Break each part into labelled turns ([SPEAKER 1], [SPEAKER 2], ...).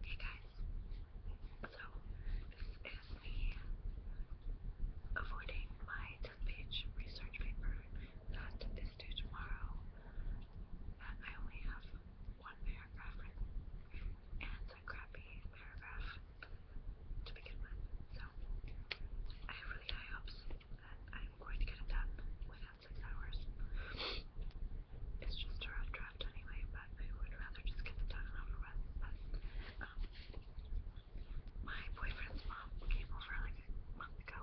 [SPEAKER 1] Hey guys, so this is the avoiding my 10 page research paper that is due tomorrow. I only have one paragraph and a crappy paragraph to begin
[SPEAKER 2] with. So I have really high hopes that I'm going to get it done with not six hours. It's just a rough draft anyway, but I would rather just get it done and over with. But, um, my boyfriend's mom came over like a month ago,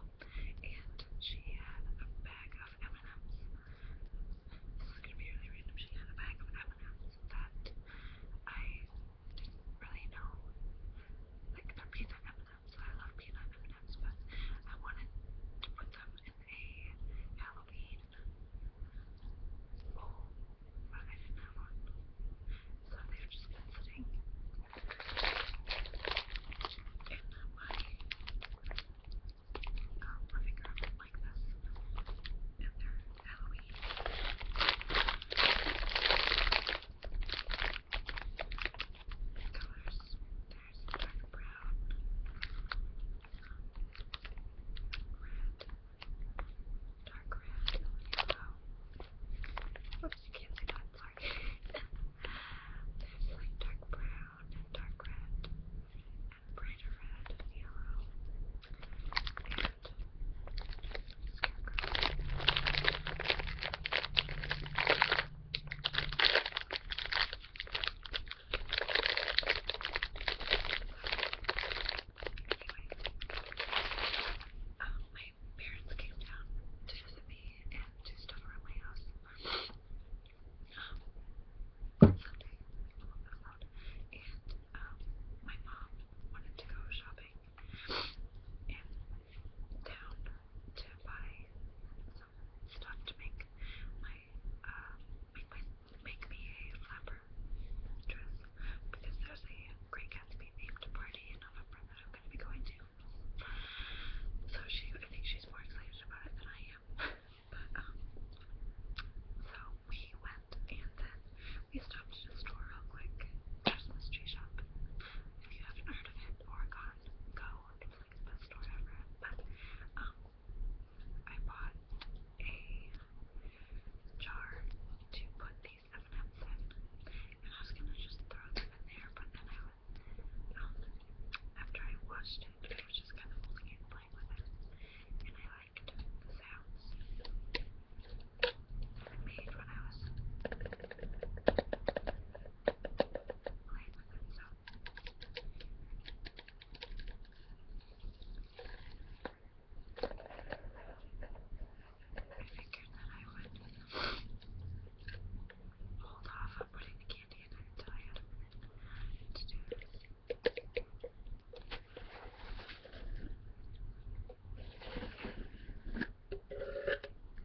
[SPEAKER 2] and she had a bag of M&M's. This is gonna be really random. She had a bag of M&M's that I didn't really know,
[SPEAKER 3] like they're peanut M&M's them, so I love peanut M&Ms, but I wanted to put them in a Halloween bowl, but I didn't have one, so they've just been sitting in my um, living room like this, and they're Halloween colors. There's a dark brown, red, dark red, yellow. Oops, you can't see that, sorry. There's like dark brown and dark red and brighter red and yellow. And
[SPEAKER 1] scarecrow. Um, my parents came down to visit me and to stuff around my house. Um, someday, I won't go out. And um, my mom wanted to go shopping in town to buy some stuff to make my uh, make my make me a flapper dress because there's a Great Gatsby themed party in November that I'm gonna be going to. So she, I think she's more excited about it than I am. but um, so we went and then we stopped at a store real quick, Christmas tree shop. If you haven't heard of it or gone fast go it's like the best store
[SPEAKER 4] ever. But um I bought a jar to put these in and I was gonna just throw them in there but then I was um after I washed it I was just kinda holding it playing with it and I liked the sounds made when I was hold off on putting the candy in there until I had a minute to do this.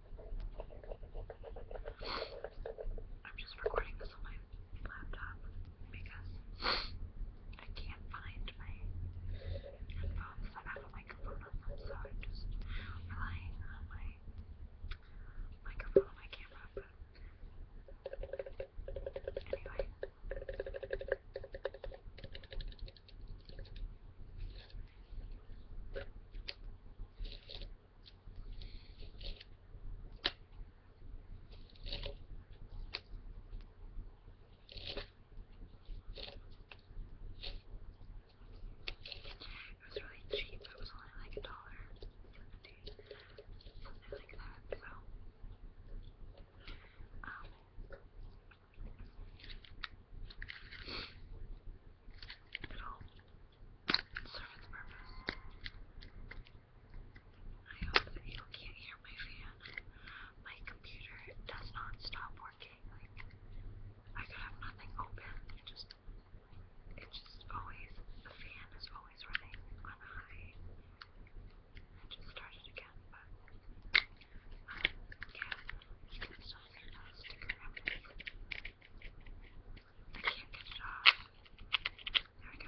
[SPEAKER 1] I'm just recording this on my laptop because I can't find my headphones that have a microphone on them, so I'm just relying on my microphone on my camera. But anyway, it was really cheap. It was only like a dollar seventy, something like that. So, um, it'll serve its purpose. I hope that you can't hear my fan. My computer does not stop working. Like I could have nothing open. It just it just always the fan is always running on high. I just started again, but So I got a sticker up here. I can't get it off. There we go.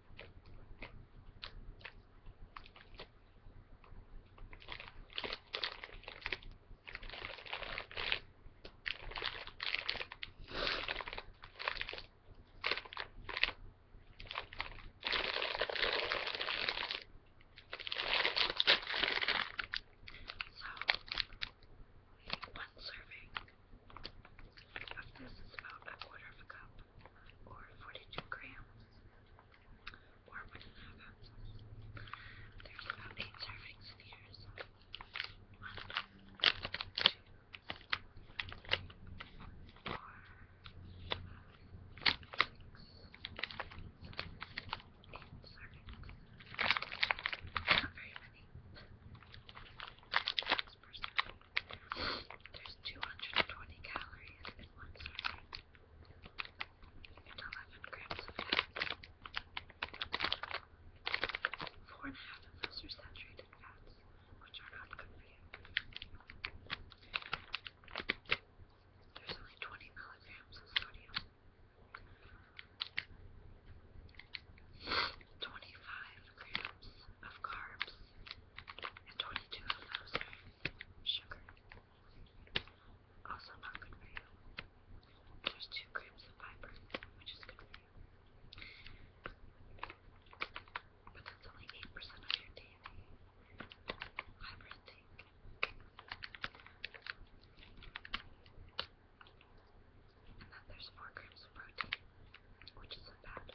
[SPEAKER 1] one
[SPEAKER 3] serving of this is about a quarter of a cup or 42 grams, or one and a half ounces. There's about eight servings in here, so one, two, three, four, five, six, eight servings. Not very many. Six percent. There's 220 calories in one serving and 11 grams of fat. Four and a half of those are saturated fats, which are not good for you. There's only 20 milligrams of sodium. 25 grams of carbs, and 22 of those are sugar. Also not good for you. There's 2 grams of fiber, which is good for you. But that's only 8% of your daily fiber intake. And then there's 4 grams of protein, which isn't bad.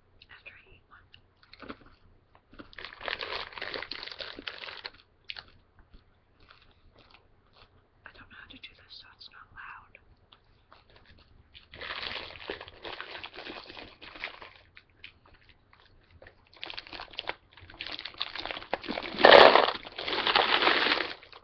[SPEAKER 3] after I eat one. I don't know how to do this so it's not loud.